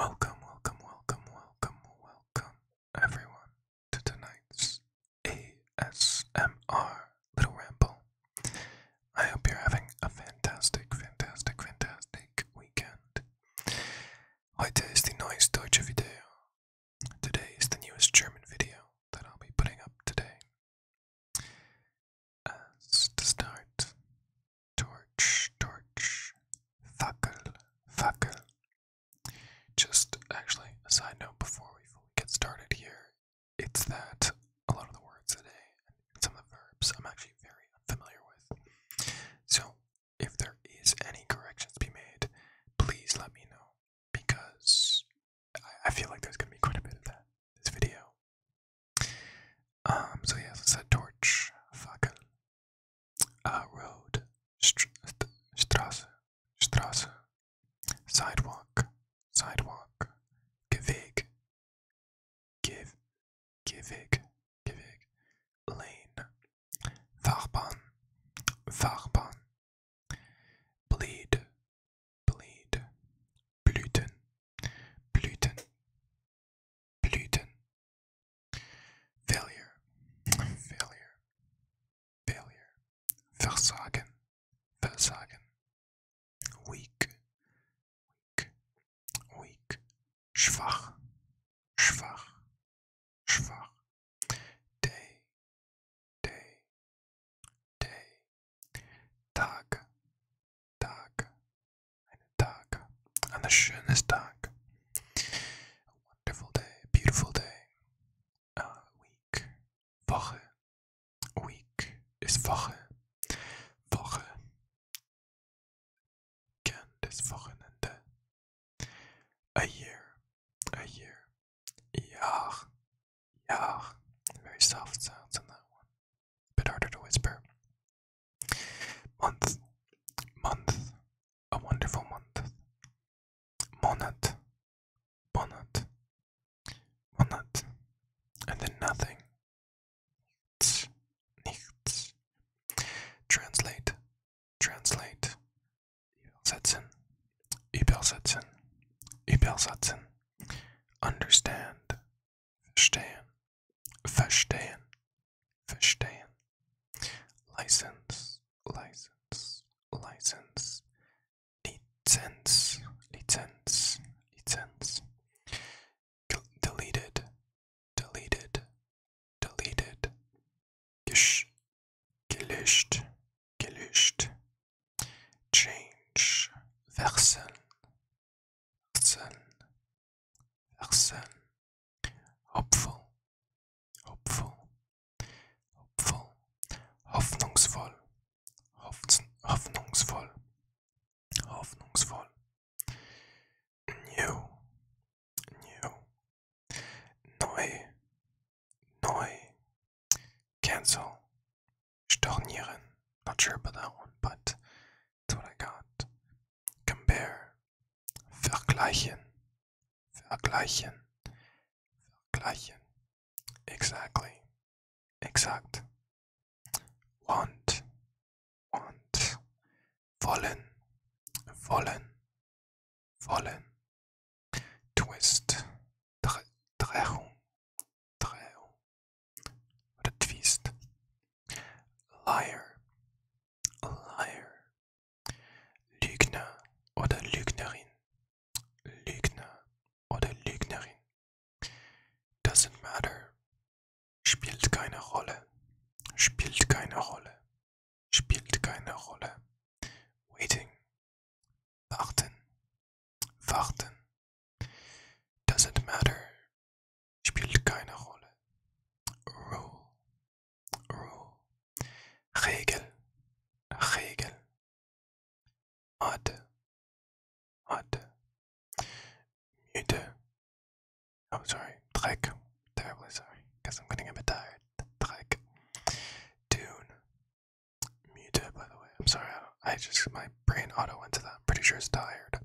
Welcome, welcome, welcome, welcome, welcome, everyone, to tonight's ASMR Little Ramble. I hope you're having a fantastic, fantastic, fantastic weekend. Heute ist the neues deutsche Video. Today is the newest German video that I'll be putting up today. As to start, torch, torch, fackel, fackel. Just actually, a side note before we get started here, it's that a lot of the words today and some of the verbs I'm actually very unfamiliar with. So, if there is any corrections to be made, please let me know because I feel like there's going to be quite a bit of that this video. Um, so yes, it's a torch, fackel, road, strasse, strasse, sidewalk, sidewalk, geweg, give, geweg, lane, fahrbahn, fahrbahn, bleed, bleed, blüten, Blüten. Blüten. Failure. Failure. Failure. Versagen. Versagen. Weak. Weak. Weak. Schwach. Schwach. Schwach. Day. Day. Day. Tag. Tag, einen Tag, ein schönes Tag, a wonderful day, beautiful day, week, Woche, week ist Woche, Woche, gern das Wochenende, a year, a year, Jahr, Jahr, very soft sounds on that one bit harder to whisper. Month, month, a wonderful month. Monat, monat, monat, and then nothing. Nichts, nichts. Translate, translate. Übersetzen, übersetzen, übersetzen. Understand, Verstehen. Verstehen. Verstehen. License. License. License. Lizenz. Lizenz. Lizenz. G deleted. Deleted. Deleted. Gesch. Gelöscht. Gelöscht. Change. Wechseln. أحسن أحسن hopeful hopeful hopeful hoffnungsvoll hoffnungsvoll hoffnungsvoll new new neu neu cancel Stornieren. Not sure about that one, but that's what I got. Compare. Vergleichen. Vergleichen. Vergleichen. Exactly. Exact. Want. Want. Wollen. Wollen. Wollen. Twist. Drehung. Treu. Oder Twist. Liar. Liar. Lügner oder Lügnerin. Lügner oder Lügnerin. Doesn't matter. Spielt keine Rolle. Spielt keine Rolle. Spielt keine Rolle. Waiting. Warten. Warten. Doesn't matter. Spielt keine Rolle. Rule. Rule. Regel. Regel. Mathe. Mathe. Müde. Oh, sorry. Dreck. Terribly sorry. Guess I'm getting a bit tired. Dreck. Dune. Muted, by the way. I'm sorry. I I just my brain auto went to that. I'm pretty sure it's tired.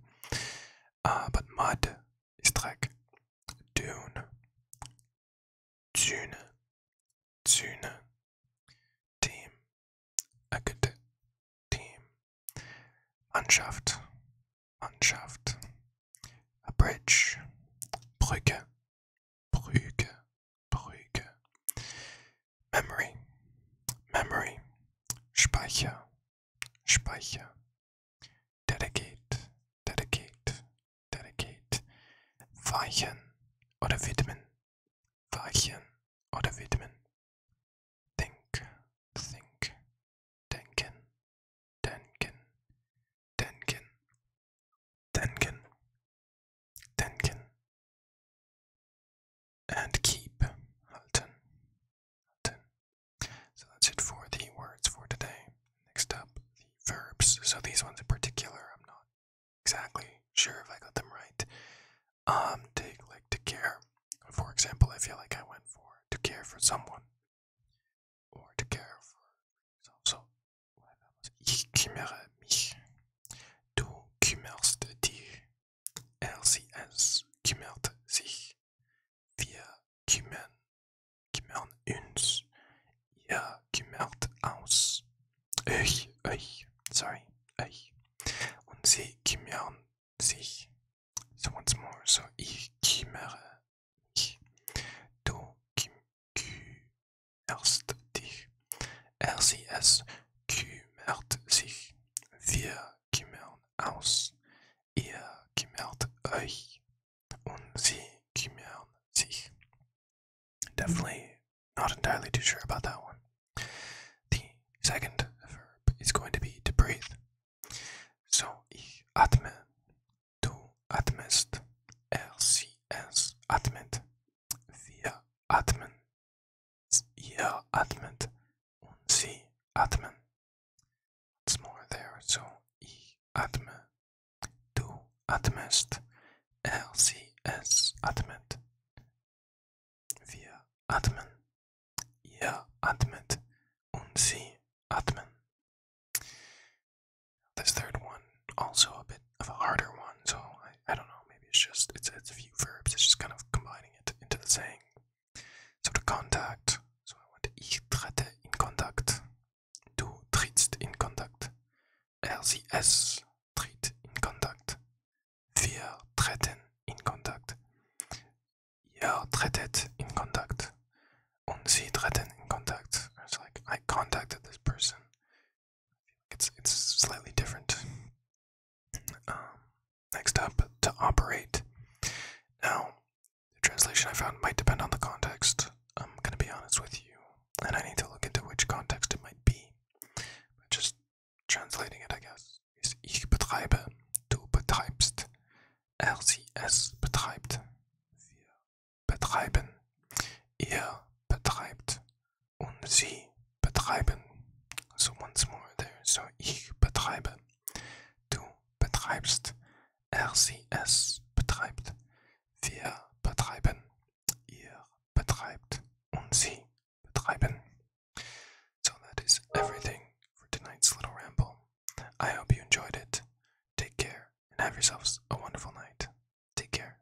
Uh, but mud is trek. Dune. Dune. Dune. Team. A good team. Mannschaft. Mannschaft. A bridge. Brücke. Brücke. Brücke. Memory, Memory, Speicher, Speicher, Dedicate, Dedicate, Dedicate, Weichen oder Widmen, Weichen oder Widmen, Think, Think, Denken, Denken, Denken, Denken, Denken, and keep Halten. So that's it for the words for today. Next up, the verbs. So these ones in particular, I'm not exactly sure if I got them right. Um, take like to care. For example, I feel like I went for to care for someone or to care for yourself. So mich. Du kümmerst dich. LCS kümmert sich. Wir kümmern, kümmern uns. Ihr kümmert aus. Euch, euch, sorry, euch. Und sie kümmern sich. So once more, so ich kümmere mich. Du kümmerst dich. Er sie es sich. Wir kümmern aus. Ihr euch. Und sie kümmern sich. Definitely not entirely too sure about that one. The second verb is going to be to breathe. So ich atme. Du atmest. Er sie es atmet. Wir atmen. Ihr atmet und sie atmen. It's more there. So ich atme, du atmest, er, sie, es atmet. Wir atmen, ihr atmet und sie atmen. This third one also a bit of a harder one, so I, I don't know, maybe it's just it's it's a few verbs, it's just kind of combining it into the saying. So the contact. So ich trete in Kontakt. Du trittst in Kontakt. Er sie es tritt in Kontakt. Wir treten in Kontakt. Ihr tretet in Kontakt. Und sie treten in Kontakt. It's like I contacted this person it's it's slightly different. Um, next up, to operate. Now, the translation I found might depend on the context. I'm gonna be honest with you, and I need to look into which context it might be. But just translating it, I guess, ich betreibe, du betreibst, er sie es betreibt, betreiben, ihr betreibt, und sie betreiben. So once more So ich betreibe. Du betreibst. Er, sie, es betreibt. Wir betreiben. Ihr betreibt. Und sie betreiben. So that is everything for tonight's little ramble. I hope you enjoyed it. Take care and have yourselves a wonderful night. Take care.